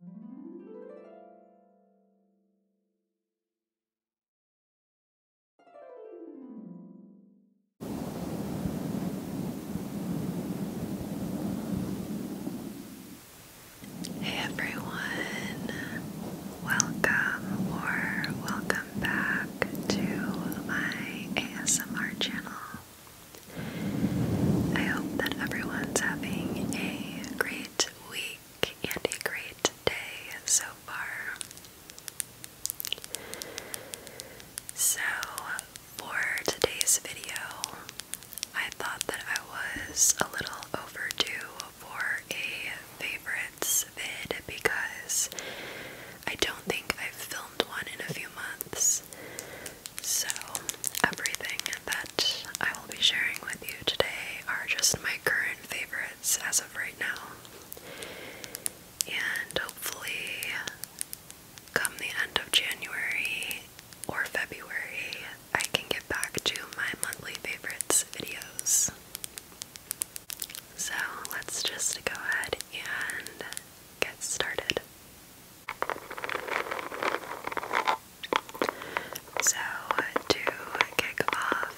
Hey everyone, welcome or welcome back to my ASMR channel. I hope that everyone's having a great great week and a great day so far. So, for today's video, I thought that I was a little overdue for a favorites vid because I don't think I've filmed one in a few months. So, everything that I will be sharing with you today are just my current favorites as of right now. And hopefully, come the end of January or February, I can get back to my monthly favorites videos. So, let's just go ahead and get started. So, to kick off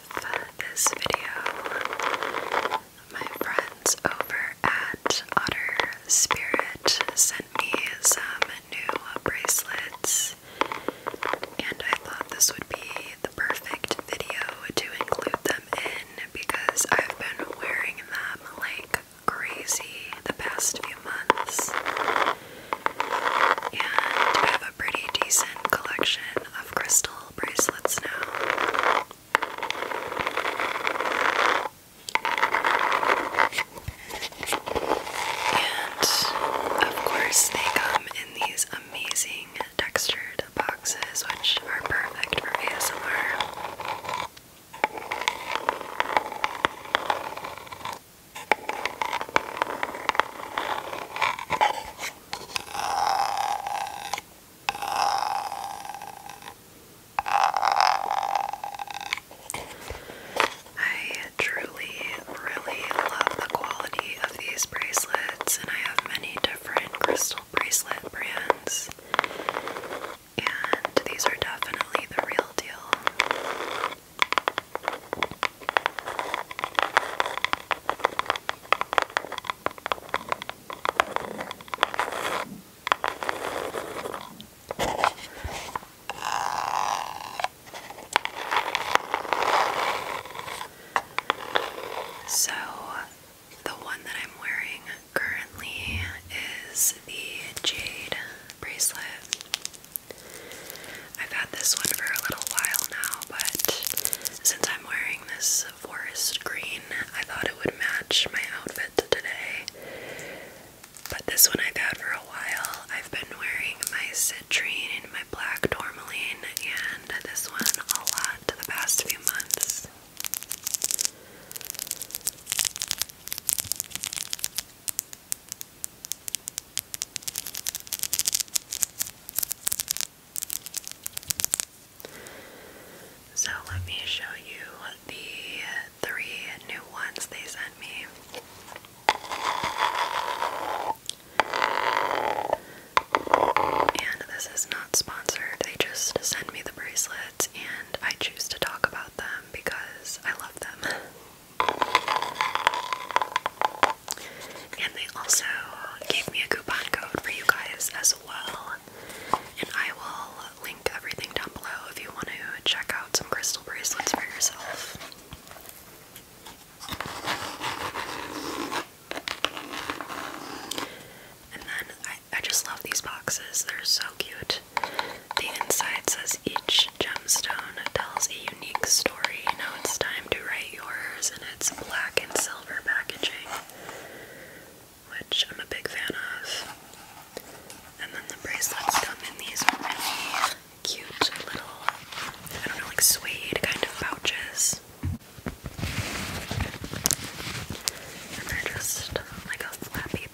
this video, my friends over at Otter Spirit sent me some new bracelets, and I thought this would be the perfect video to include them in because I've been wearing them like crazy the past few months. And have a pretty decent collection of crystal bracelets now. And of course, they come in these amazing textured boxes, which are perfect for ASMR. I truly, really love the quality of these bracelets, and I have many different crystal bracelet brands, and these are definitely the real deal. So, the one that I'm wearing currently is the jade bracelet. I've had this one for a little while now, but since I'm wearing this forest green, I thought it would match my outfit today. But this one I've had for a while. I've been wearing my citrine and my black tourmaline, and this one a lot the past few months. So let me show you the three new ones they sent me. And this is not sponsored, they just send me the bracelets, and I choose to talk about them because I love them. And they also gave me a coupon code for you guys as well. And I will link everything down below if you want to check out some crystal bracelets for yourself. And then I, I just love these boxes, they're so cute. The inside says each gemstone tells a unique story. Now it's time to write yours, and it's black and silver packaging, which I'm a big fan of. And then the bracelets come in these really cute little, I don't know, like suede kind of pouches. they're just like a flap so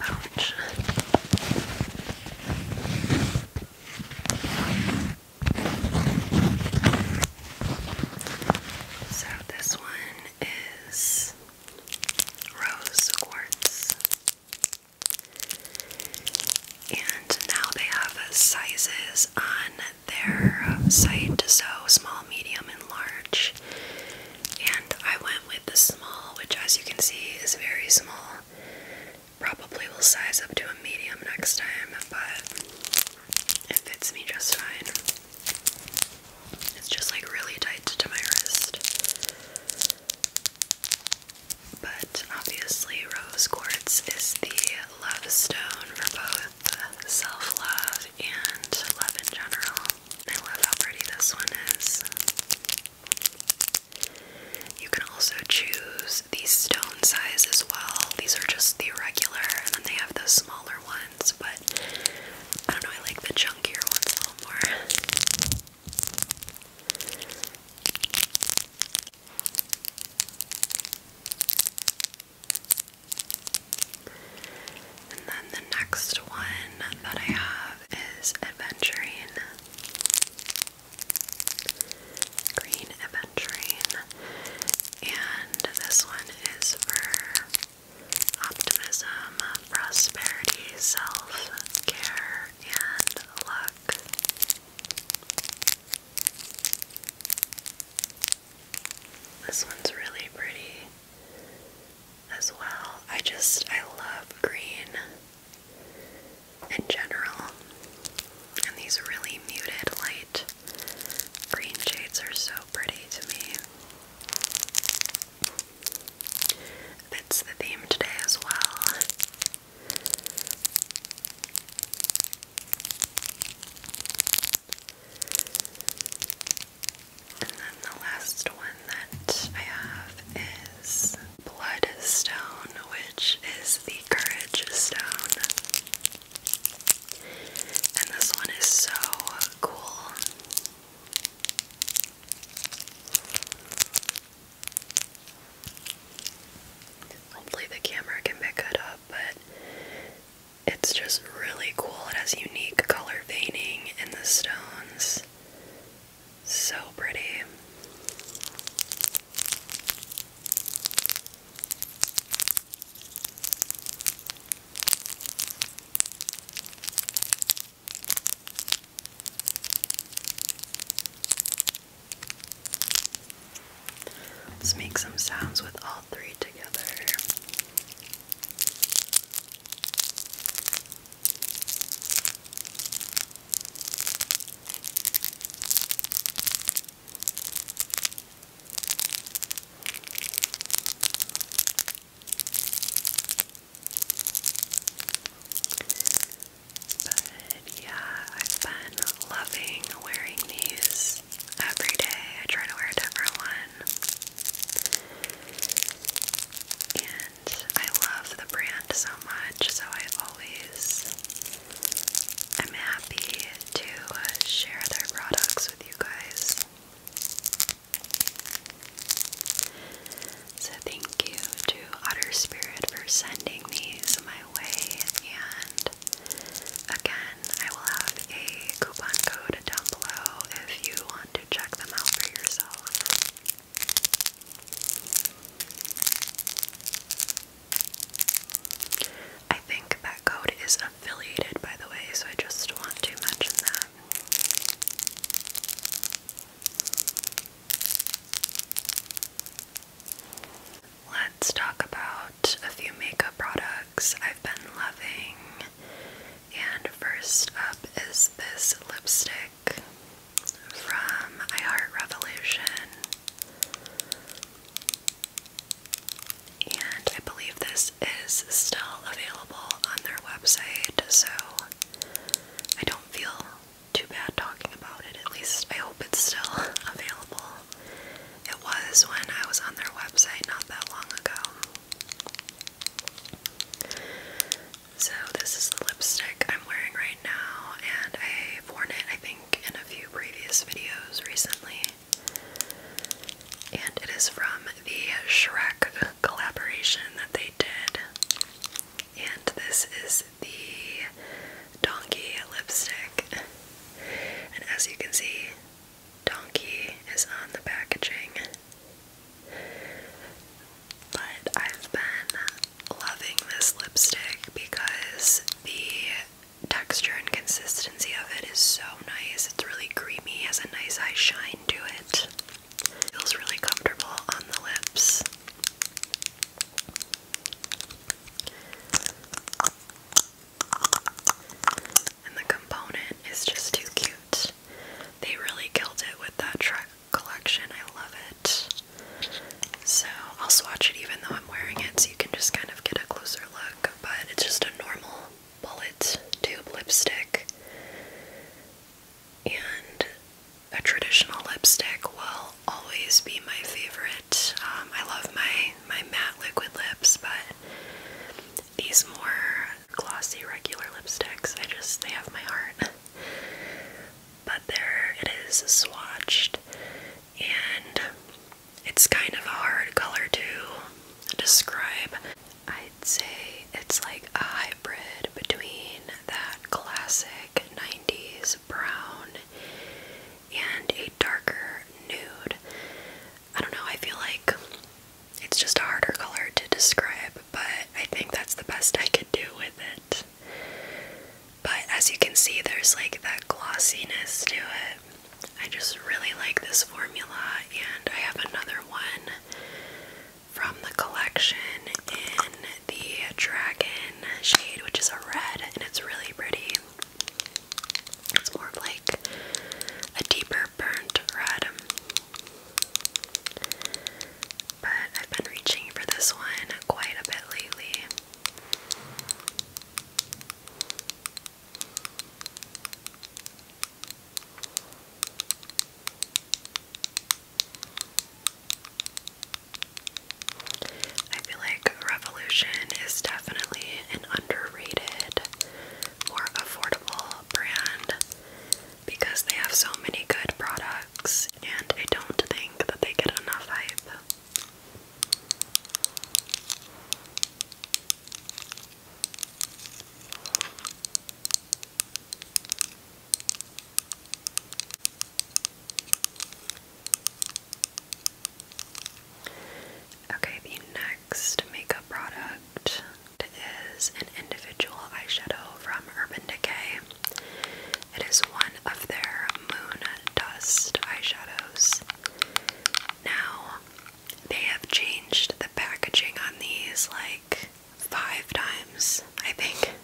this one is rose quartz. And now they have sizes on their site, so small, medium, and large. And I went with the small, which as you can see is very small. Probably will size up to a medium next time, but it fits me just fine. It's just like really tight to my wrist. But obviously, rose quartz is the love stone for both self love and love in general. I love how pretty this one is. You can also choose these stone size as well. These are just the regular, and then they have the smaller ones, but I don't know, I like the chunkier ones a little more. And then the next one that I have is Adventuring green aventurine, and this one is for optimism, prosperity, self care, and luck. This one's really pretty as well. I just, I love green in general. And these really muted light green shades are so pretty to me. That's the theme today as well. And then the last one that I have is bloodstone, which is the courage stone. And this one is so cool. Hopefully, the camera can pick it up, but it's just really cool. It has unique color veining in the stones. So pretty. Let's make some sounds with all three together. But yeah, I've been loving wearing these every day. I try to wear a different one. I love the brand so much, so I always i am happy to share their products with you guys. So, thank you to Otter Spirit for sending these my way. And again, I will have a coupon code down below if you want to check them out for yourself. I think that code is affiliated, by the way, so I just want to mention that. Let's talk about a few makeup products I've been loving. And first up is this lipstick from I Revolution. And I believe this is still available on their website, so I don't feel too bad talking about it. At least I hope it's still available. It was when I was on their website not that long ago. So this is the lipstick I'm wearing right now, and I've worn it I think in a few previous videos recently. And it is from the Shrek collaboration that they did. And this is the Donkey lipstick. And as you can see, Donkey is on the packaging. But I've been loving this lipstick because the texture and consistency of it is so nice. It's really creamy, has a nice eye shine to it. Feels really comfortable on the lips. And the component is just too cute. They really killed it with that track collection. I love it. So I'll swatch it even though I'm wearing it so you can just kind of get a closer look. But it's just a normal bullet tube lipstick. And a traditional lipstick will always be my favorite. Um, I love my, my matte liquid lips, but these more glossy regular lipsticks, I just, they have my heart but there it is swatched and it's kind of a hard color to describe. I'd say it's like a hybrid between that classic 90s brown and a darker nude. I don't know, I feel like it's just a harder color to describe, but I think that's the best I could do with it. But as you can see, there's like that glossiness to it. I just really like this formula, and I have another one from the collection in the Dragon shade, which is a red, and it's really pretty. It's more of like a deeper burnt red but I've been reaching for this one quite a bit lately. I feel like Revolution is definitely an underrated, more affordable brand because they have so many good products, and I don't think that they get enough hype. Okay, the next makeup product is an individual eyeshadow from Urban Decay. It is one of their Moon Dust eyeshadows. Now, they have changed the packaging on these like five times, I think,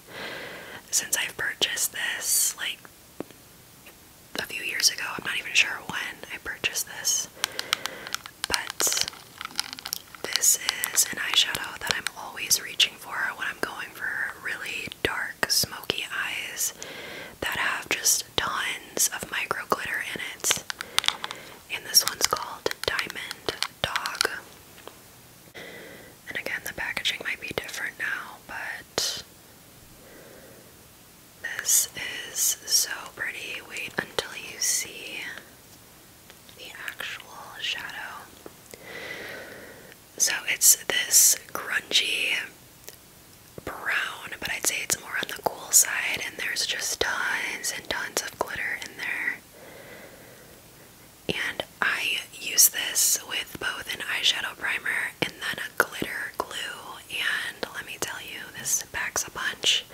since I've purchased this like a few years ago. I'm not even sure when I purchased this. But this is an eyeshadow that I'm always reaching for when I'm going for really dark, smoky eyes that have just tons of micro glitter in it. And this one's called Diamond Dog. And again, the packaging might be different now, but this is so pretty. Wait until you see the actual shadow. So it's this grungy brown, but I'd say it's more on the cool side, and there's just tons and tons of glitter in there. And I use this with both an eyeshadow primer and then a glitter glue. And let me tell you, this packs a punch.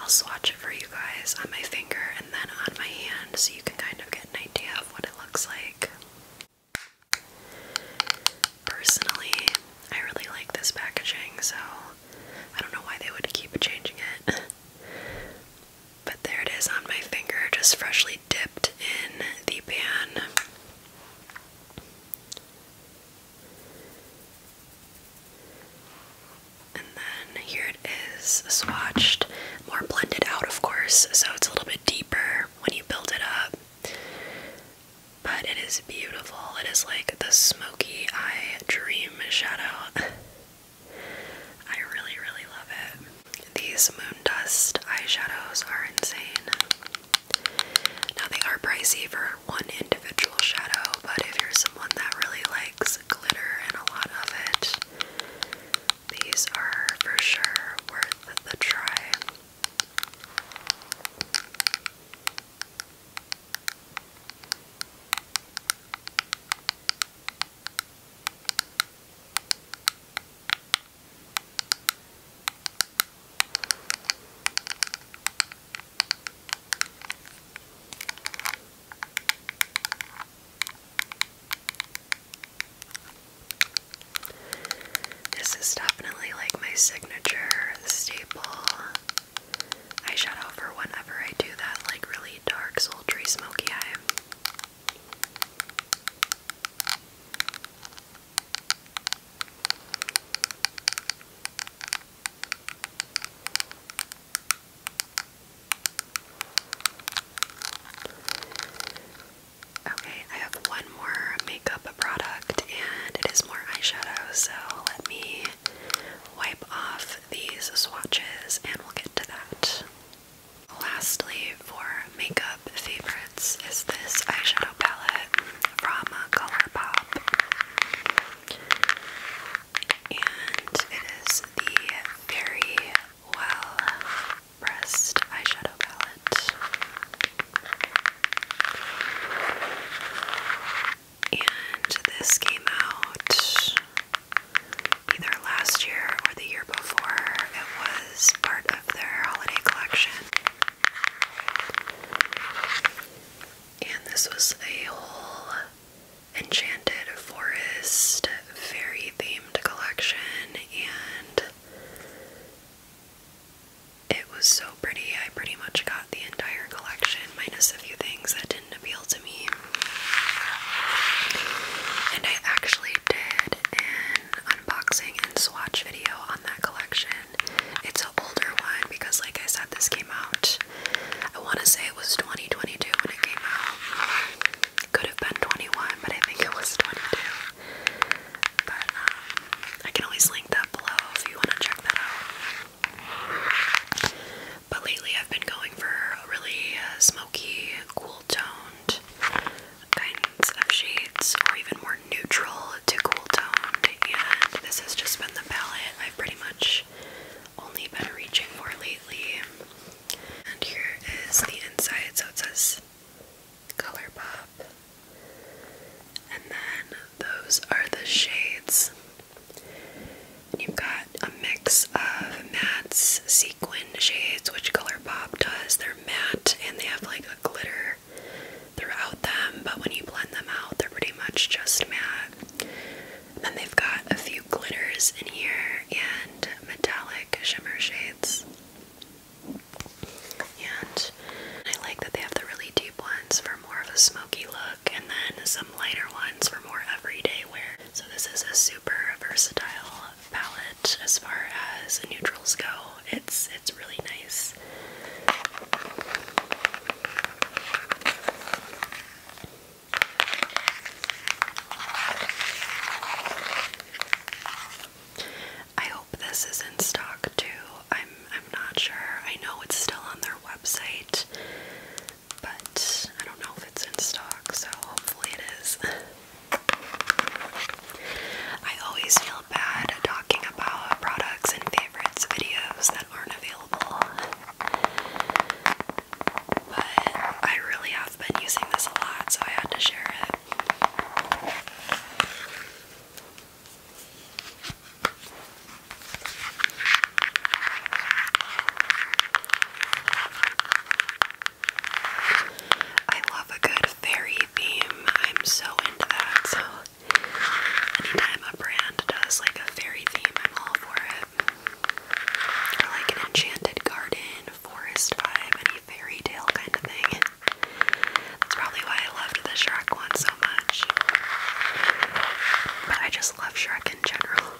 I'll swatch it for you guys on my finger and then on my hand so you can kind of get an idea of what it looks like. Personally, I really like this packaging, so I don't know why they would keep changing it. but there it is on my finger, just freshly dipped in the pan. And then here it is swatched, more blended out, of course, so it's a little bit deeper when you build it up. But it is beautiful. It is like the smoky eye dream shadow. I really, really love it. These moon dust eyeshadows are insane. Now, they are pricey for one individual shadow, but if you're someone that really likes glitter and a lot of it. These are for sure worth the try. This is definitely like my signature staple I eyeshadow for whenever I do that like really dark, sultry, smoky eye. Okay, I have one more makeup product and it is more eyeshadow, so let me wipe off these swatches and we'll get to that. Lastly, for makeup favorites is this eyeshadow palette from ColourPop and it is the Very Well Pressed Eyeshadow Palette. And this came out either last year or the year before. It was part of their holiday collection. And this was a whole Enchanted Forest fairy themed collection, and it was so pretty. I pretty much got the entire collection, minus a few things that didn't appeal to me. And I actually did an unboxing and swatch video on that collection. It's an older one because, like I said, this came out I want to say it was 2022 when it came out. It could have been 21, but I think it was 22. But um, I can always link that below if you want to check that out. But lately I've been going for really uh, smoky, cool toned kinds of shades, or even more neutral to cool toned. And this has just been the palette I've pretty much only been reaching for lately. And here is the inside, so it says Colourpop. And then those are the shades. you've got a mix of Matte's sequin shades, which Colourpop does. They're matte and they have like a glitter throughout them, but when you blend them out, they're pretty much just matte. And then they've got a few glitters in here and metallic shimmer shades. And I like that they have the really deep ones for more of a smoky look and then some lighter ones for more everyday wear. So this is a super versatile palette as far as neutrals go. It's it's really nice. I hope this is in stock too. I'm I'm not sure. I know it's still on their website, but I don't know if it's in stock, so hopefully it is. I always feel bad talking about products and favorites videos that aren't available. But I really have been using this a lot, so I had to share it. I love a good fairy theme. I'm so into that. So anytime a brand does like a fairy theme, I'm all for it. Or like an enchanted garden, forest vibe, any fairy tale kind of thing. That's probably why I loved the Shrek one so much. But I just love Shrek in general.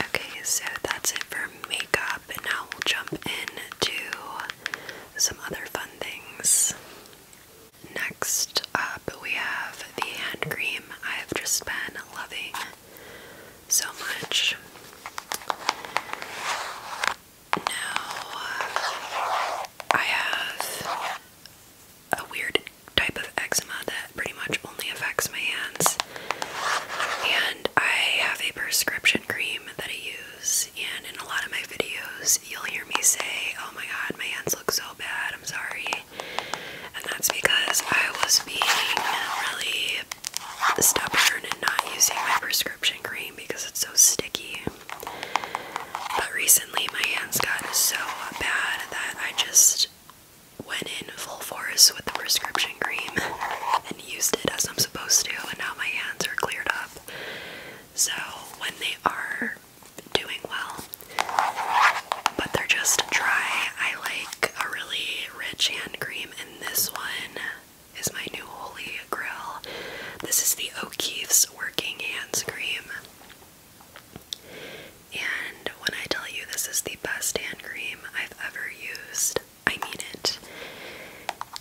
Okay, so that's it for makeup, and now we'll jump into some other fun things. Next up, we have the hand cream I have just been loving so much. Now, I have a weird type of eczema that pretty much only affects my hands. And I have a prescription cream that I use, and in a lot of my videos, you'll hear me say, Oh my god, my hands look so bad, I'm sorry. And that's because I was being really stubborn and not using my prescription cream because it's so sticky. But recently, my hands got so bad that I just went in full force with the prescription cream and used it as I'm supposed to, and now my hands are cleared up. So, when they are doing well, but they're just dry, I like a really rich hand cream, and this one is my new holy grail. This is the O'Keefe's Working hand Cream. And when I tell you this is the best hand cream I've ever used, I mean it.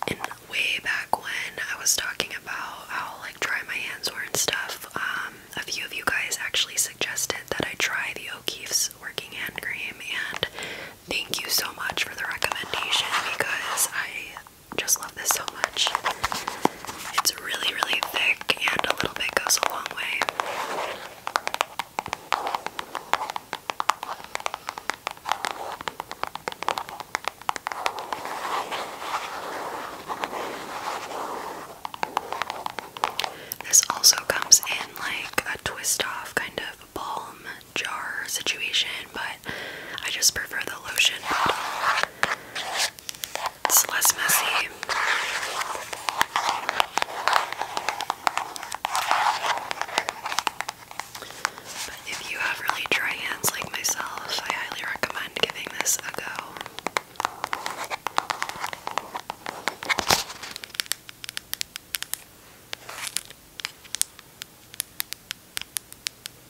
And way back when I was talking about how like dry my hands were and stuff, um, a few of you guys actually suggested that I try the O'Keefe's Working Hand Cream, and thank you so much for the recommendation because I just love this so much. It's really, really thick, and a little bit goes a long way. This also comes in like a twist off kind of balm jar situation, but I just prefer the lotion It's less messy. But if you have really dry hands like myself, I highly recommend giving this a go.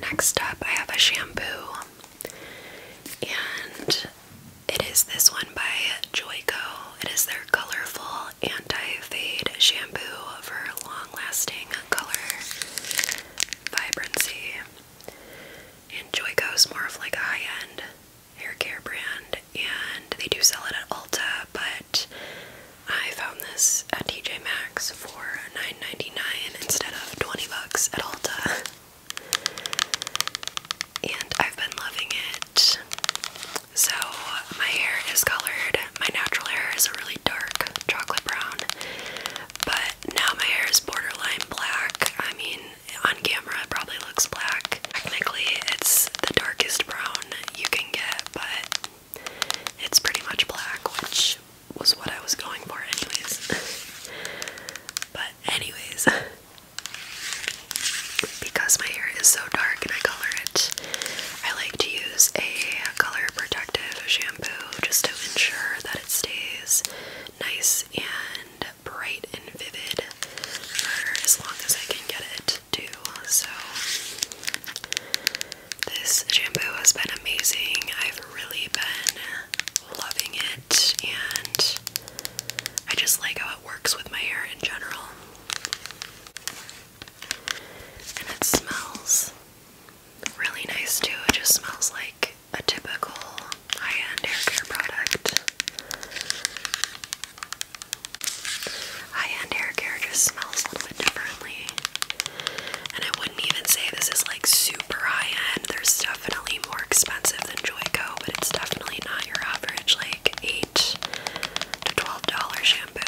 Next up, I have a shampoo, and it is this one by Joyco. It is their colorful anti-fade shampoo for long-lasting color vibrancy. And Joyco is more of like a high-end hair care brand, and they do sell it at Ulta, but I found this at TJ Maxx for nine. 99 instead of 20 bucks at Ulta. And I've been loving it. So, my hair is colored. My natural hair is a really dark chocolate brown. But now my hair is borderline black. I mean, on camera it probably looks black. Technically, it's the darkest brown you can get, but it's pretty much black, which was what I was going for, anyways. but, anyways, because my hair is so dark and I color it, I like to use a color protective shampoo just to ensure that it stays nice and bright and vivid for as long as I can get it to. So, this shampoo has been amazing. I've really been loving it, and I just like how it works with my hair in general. And it smells really nice too. It just smells like a typical high end hair care product. High end hair care just smells a little bit differently. And I wouldn't even say this is like super high end. They're definitely more expensive than Joyco, but it's definitely not your average like eight to twelve dollar shampoo.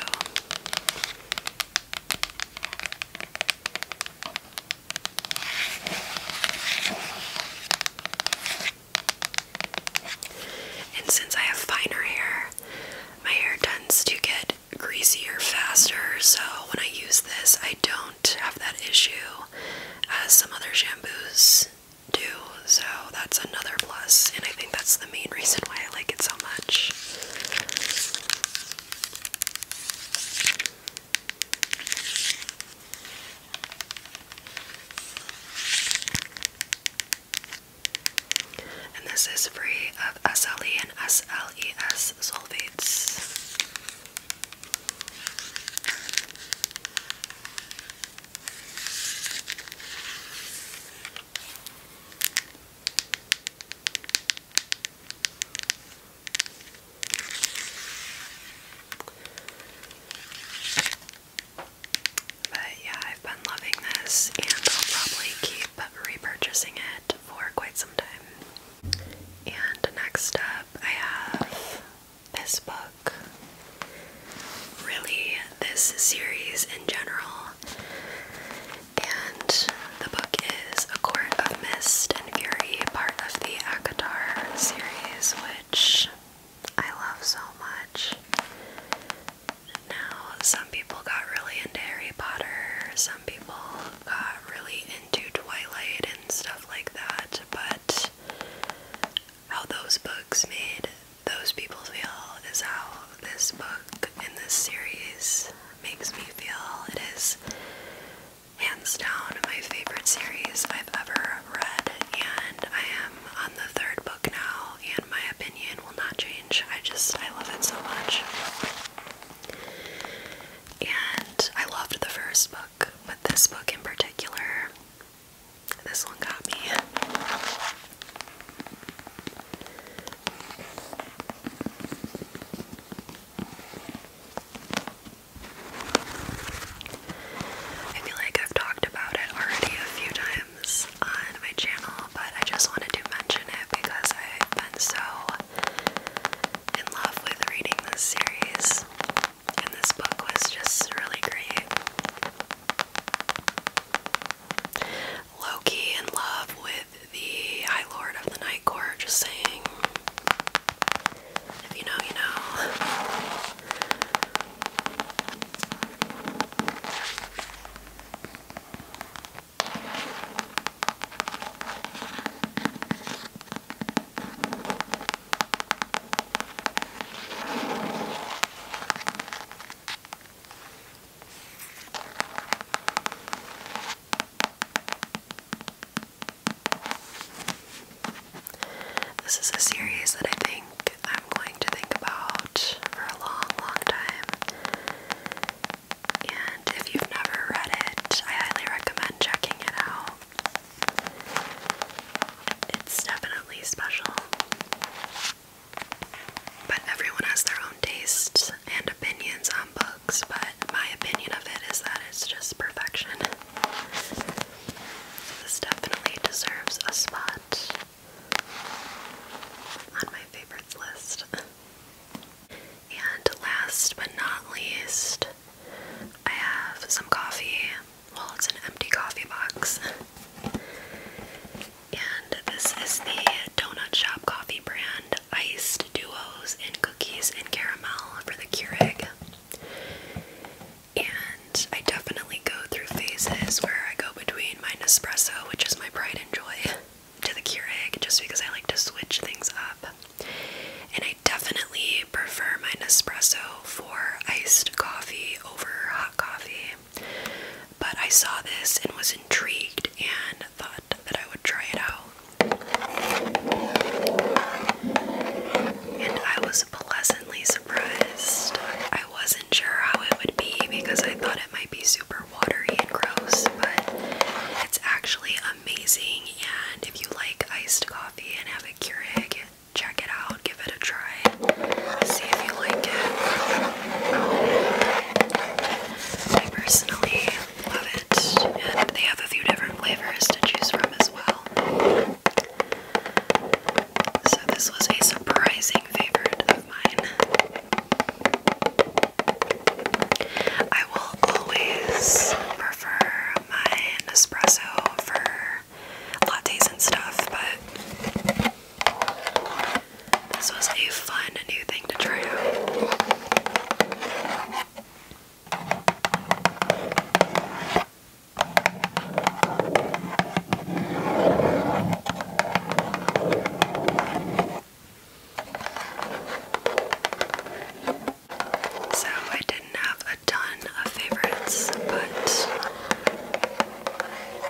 And since I have finer hair, my hair tends to get greasier faster, so when I use this, I don't have that issue as some other shampoos do. So that's another plus, and I think that's the main reason why I like it so much. And this is free of SLE and SLES sulfates. But yeah, I've been loving this, and I'll probably keep repurchasing it for quite some time. And next up, I have this book. Really, this series in general. And the book is A Court of Mist and Fury, part of the ACOTAR series, which I love so much. Now, some people got really into Harry Potter, some people got uh, really into Twilight and stuff like that, but how those books made those people feel is how this book in this series makes me feel. It is hands down my favorite series I've ever read, and I am on the third book now, and my opinion will not change. I just, I love it so much. And I loved the first book, but this book in particular, this one got me. I feel like I've talked about it already a few times on my channel, but I just wanted to mention it because I've been so in love with reading this series, and this book was just really great. Loki in love with the High Lord of the Night Court, just saying, if you know, you know. This is a series that I think I'm going to think about for a long, long time. And if you've never read it, I highly recommend checking it out. It's definitely special. But everyone has their own tastes and opinions on books, but my opinion of it is that it's just perfection. this definitely deserves a spot on my favorites list. And last but not least, I have some coffee. Well, it's an empty coffee box. and this is the Donut Shop coffee brand Iced Duos and Cookies and Caramel for the Keurig. And I definitely go through phases where I go between my Nespresso, which is my pride and joy, to the Keurig just because I like to switch things up. And I definitely prefer my Nespresso for iced coffee over hot coffee. But I saw this and was intrigued and thought that I would try it out. And I was pleasantly surprised. I wasn't sure how it would be because I thought it might be super watery and gross, but it's actually amazing. And if you like iced coffee and have a Keurig, check it out, give it a try, see if you like it. I personally love it, and they have a few different flavors to choose from as well. So, this was a surprising favorite of mine. I will always prefer my Nespresso for lattes and stuff, but this was a fun new thing to try out. So I didn't have a ton of favorites, but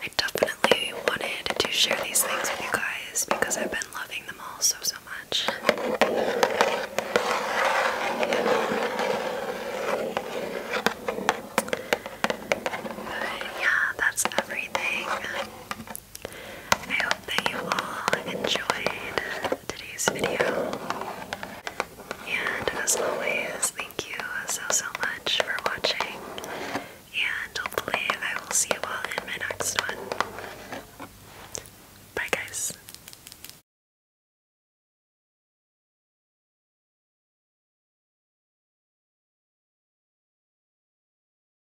I definitely wanted to share these things with you guys because I've been loving them all so, so much. But yeah, that's everything. I hope that you all enjoyed today's video. And as always, thank you so, so much for watching. And hopefully, I will see you all in my next one. Bye, guys.